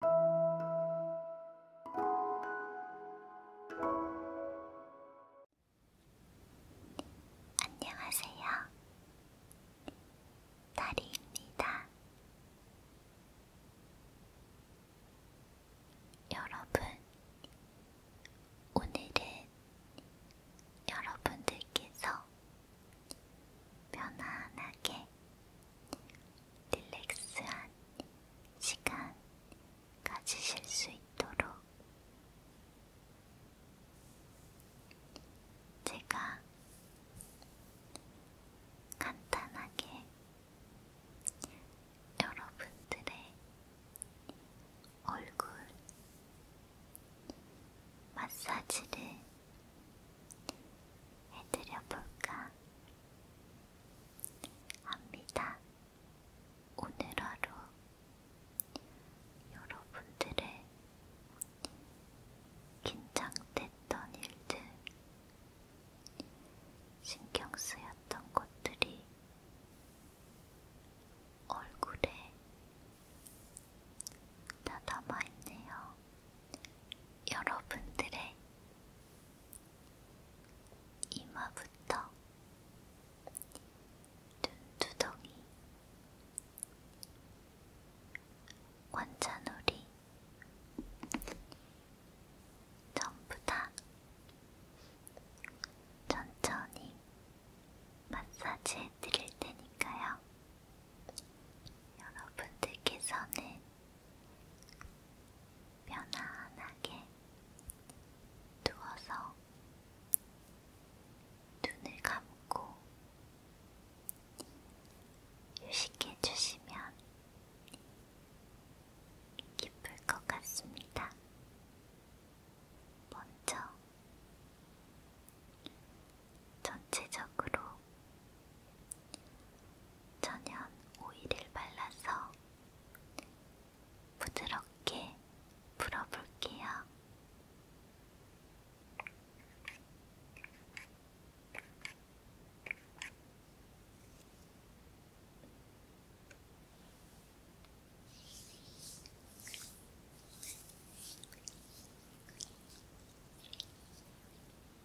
안녕하세요. 다리입니다. 여러분, 오늘은 여러분들께서 편안하게 릴렉스한 시간 가지실 수 있도록 제가 간단하게 여러분들의 얼굴 마사지를 해드려 볼까 합니다. 오늘 하루 여러분들의 긴장됐던 일들, 신경 쓰였던 것들이 얼굴에 다 담아있네요. 여러분들의 이마부터 눈두덩이 관자놀이 전부 다 천천히 마사지 해드릴 테니까요. 여러분들께서는 편안하게 누워서 눈을 감고 휴식해 주시면 기쁠 것 같습니다. 먼저 전체적으로 천연 오일을 발라서 부드럽게 풀어볼게요.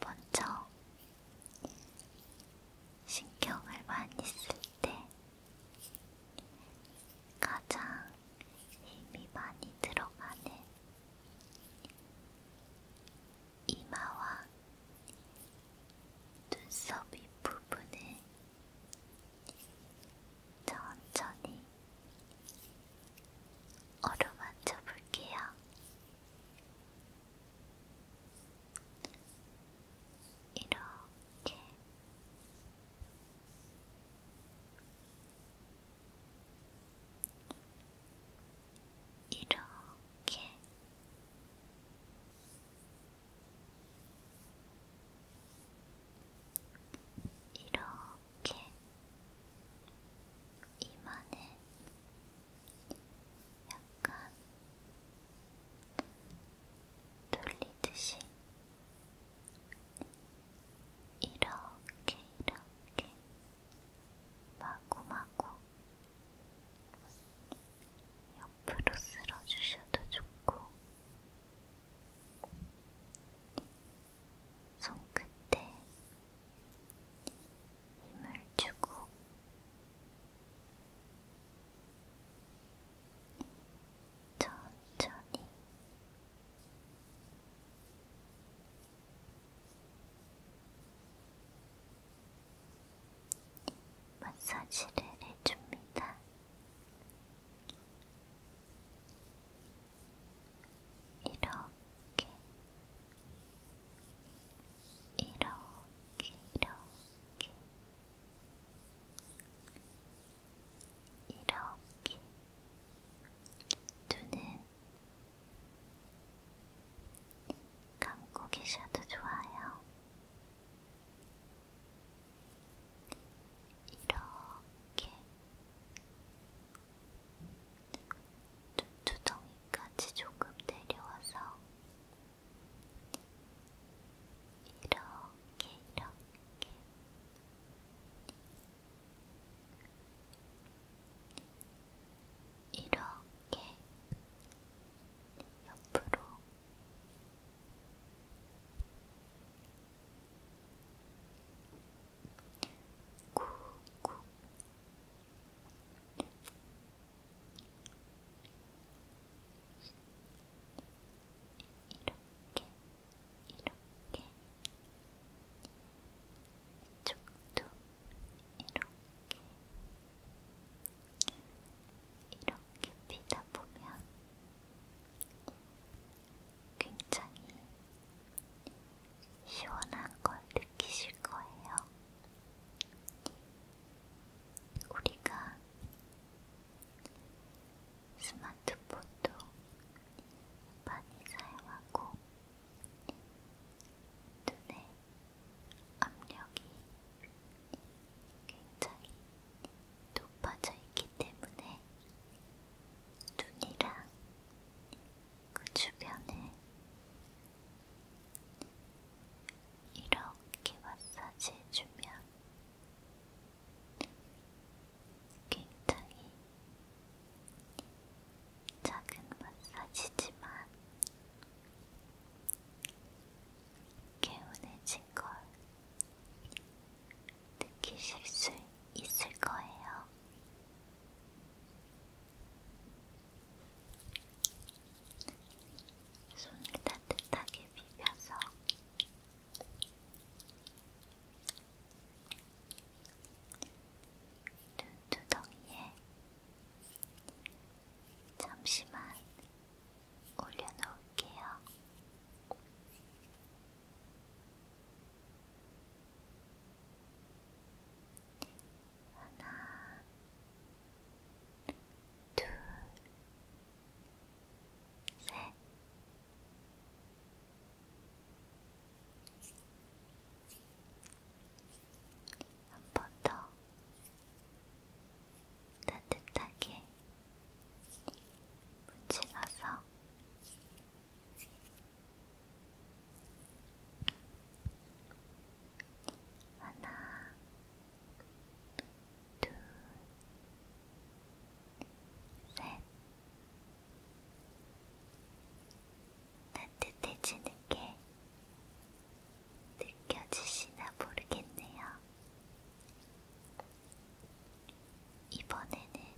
먼저 신경을 많이 쓸 때 가장 힘이 많이 들어가는 이마와 눈썹 윗부분을 천천히 어루만져 볼게요. 이렇게 이렇게 이렇게 이렇게 이마는 약간 돌리듯이 이렇게 이렇게 마구마구 옆으로 쓸어주셔도 좋고 손끝에 힘을 주고 천천히 마사지를 해줍니다. 이렇게 이렇게 이렇게 이렇게 눈은 감고 계셔도 좋아요. 이렇게 주둥이까지 조금 내려와서 이렇게 이렇게 이렇게 옆으로 구구 이렇게 이렇게 이쪽도 이렇게 이렇게 피다 보면 굉장히 시원한 걸 느끼실 거예요. 우리가 스마트폰도 많이 사용하고 눈에 압력이 굉장히 높아져 있기 때문에 눈이랑 그 주변에 이렇게 마사지 해주면 굉장히 작은 마사지지만 개운해진 걸 느끼실 수 있을 거예요. 손을 따뜻하게 비벼서 눈두덩이에 잠시만 올려놓을게요. 하나, 둘, 셋. 한번더 따뜻하게 붙이가서 하나, 둘, 셋. 따뜻해지는 게 느껴지시나 모르겠네요. 이번에는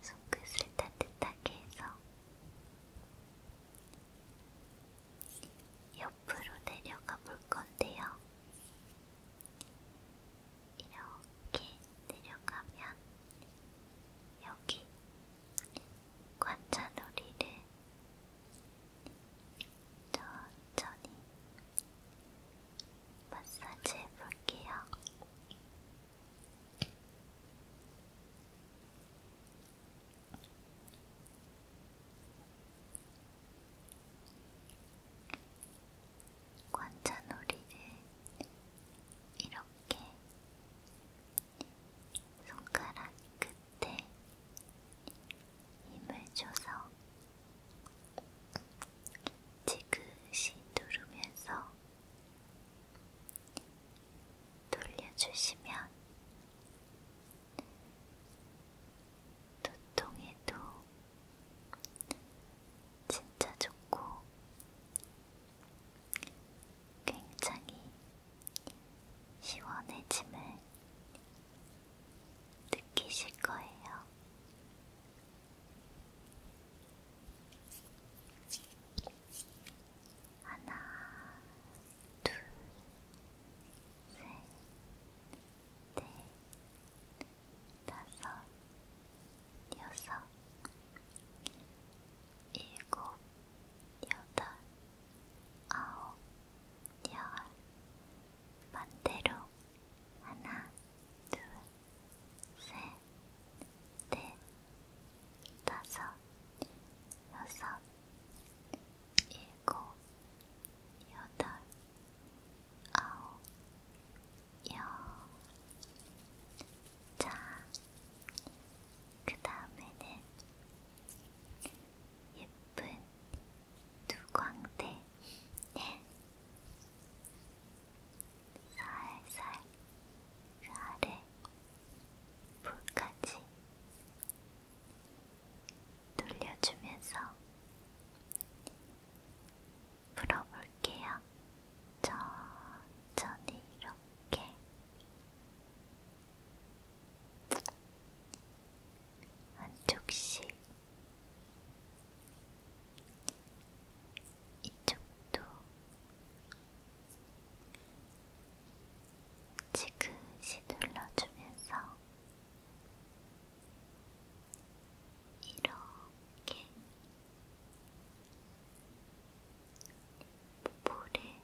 손끝을 따뜻하게 해서 옆으로 내려가 볼 건데요. 이렇게 내려가면 여기 관자놀이를 천천히 마사지 해볼게요. 관자놀이를 이렇게 손가락 끝에 힘을 줘서 지그시 누르면서 돌려주시면 두통에도 진짜 좋고 굉장히 시원해짐을 느끼실 거예요. 하나, 둘, 셋, 넷, 다섯, 여섯, 일곱, 여덟, 아홉, 열, 반대로 하나, 둘, 셋, 넷, 다섯, 여섯, 일곱, 여덟, 아홉, 열. 자, 그 다음에는 예쁜 두광대 네. 살살 그 아래 볼까지 돌려주면서 풀어볼게요. 천천히 이렇게 한쪽씩 이쪽도 지그시 눌러주면서 이렇게 볼에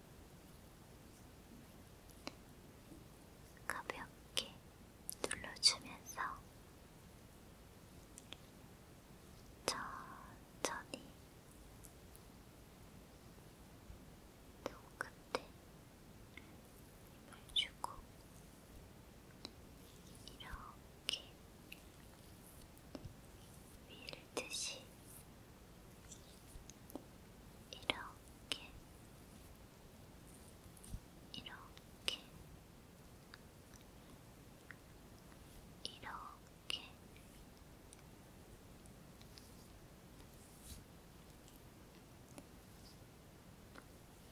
가볍게 눌러주면서 천천히 손끝에 힘을 주고 이렇게 밀듯이 이렇게 이렇게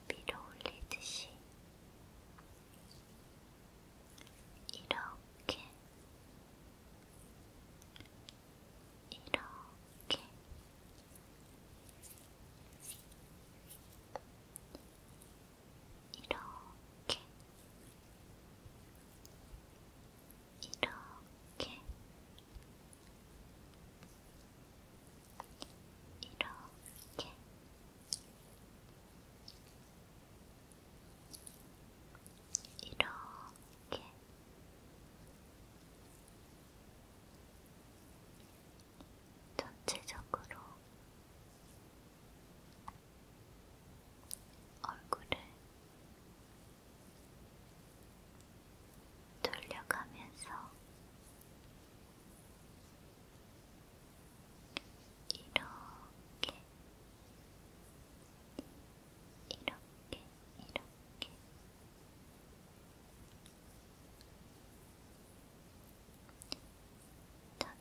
이렇게 밀어 올리듯이 이렇게 이렇게 이렇게 이렇게 이렇게 이렇게 이렇게 전체적으로 얼굴을 돌려가면서 이렇게 이렇게 이렇게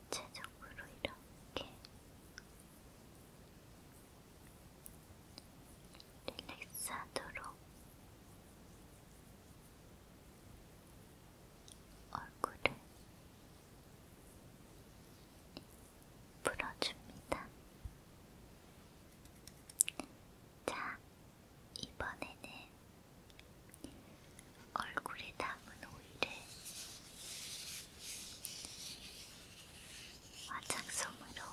전체적으로 이렇게 릴렉스하도록 얼굴을 풀어줍니다. 자, 이번에는 얼굴에 담은 오일을 화장솜으로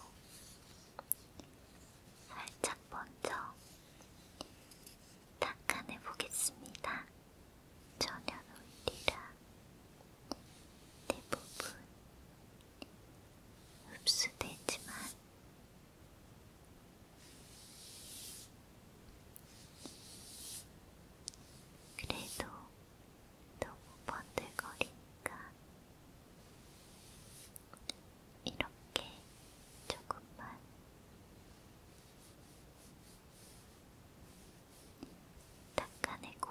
살짝 먼저 닦아내 보겠습니다. 천연 오일이라 대부분 흡수되지만 그래도 너무 번들거리니까 이렇게 조금만 닦아내고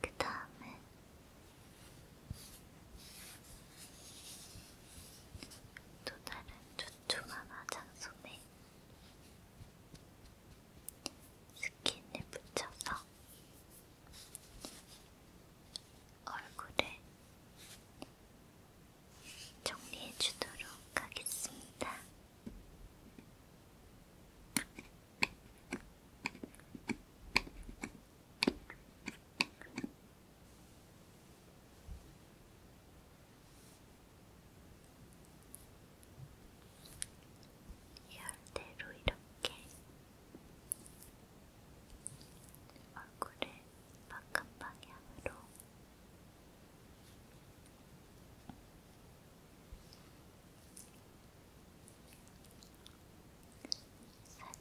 그 다음에 또 다른 조조한 화장솜에 스킨을 붙여서 얼굴을 정리해 주도록 하겠습니다. 열대로 이렇게 얼굴을 바깥 방향으로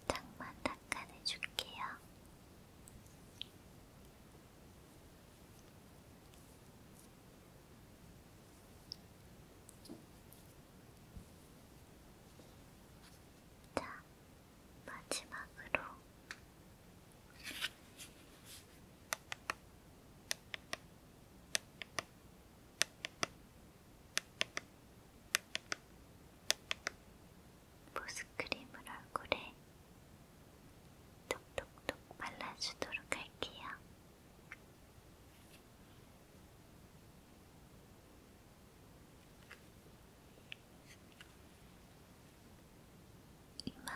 살짝만 닦아내줄게요. 자, 마지막으로 보습크림을 얼굴에 톡톡톡 발라주도록 할게요. 이마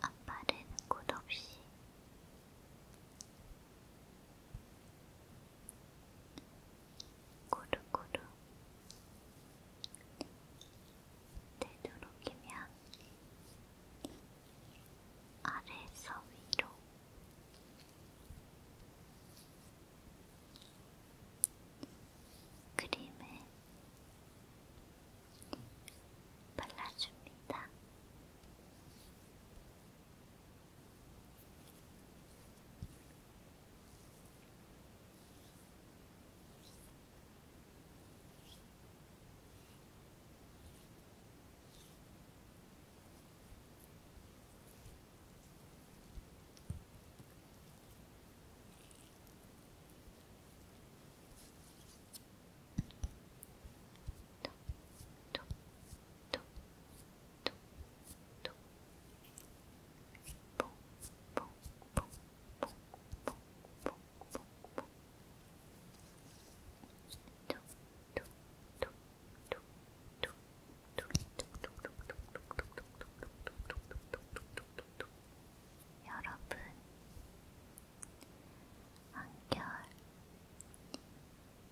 아빠는 끝없이 고루고루 되도록이면 아래에서 위로 그림에 발라줍니다. 여러분, 한결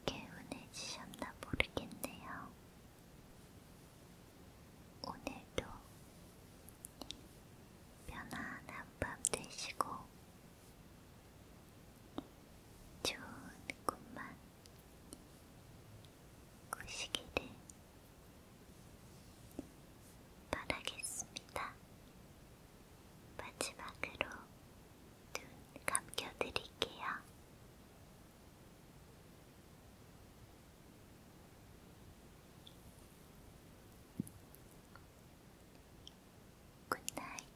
개운해지셨나 모르겠네요. 오늘도 편안한 밤 되시고 좋은 꿈만 꾸시기를 바라겠습니다. 마지막으로 눈 감겨드릴게요. 굿나잇.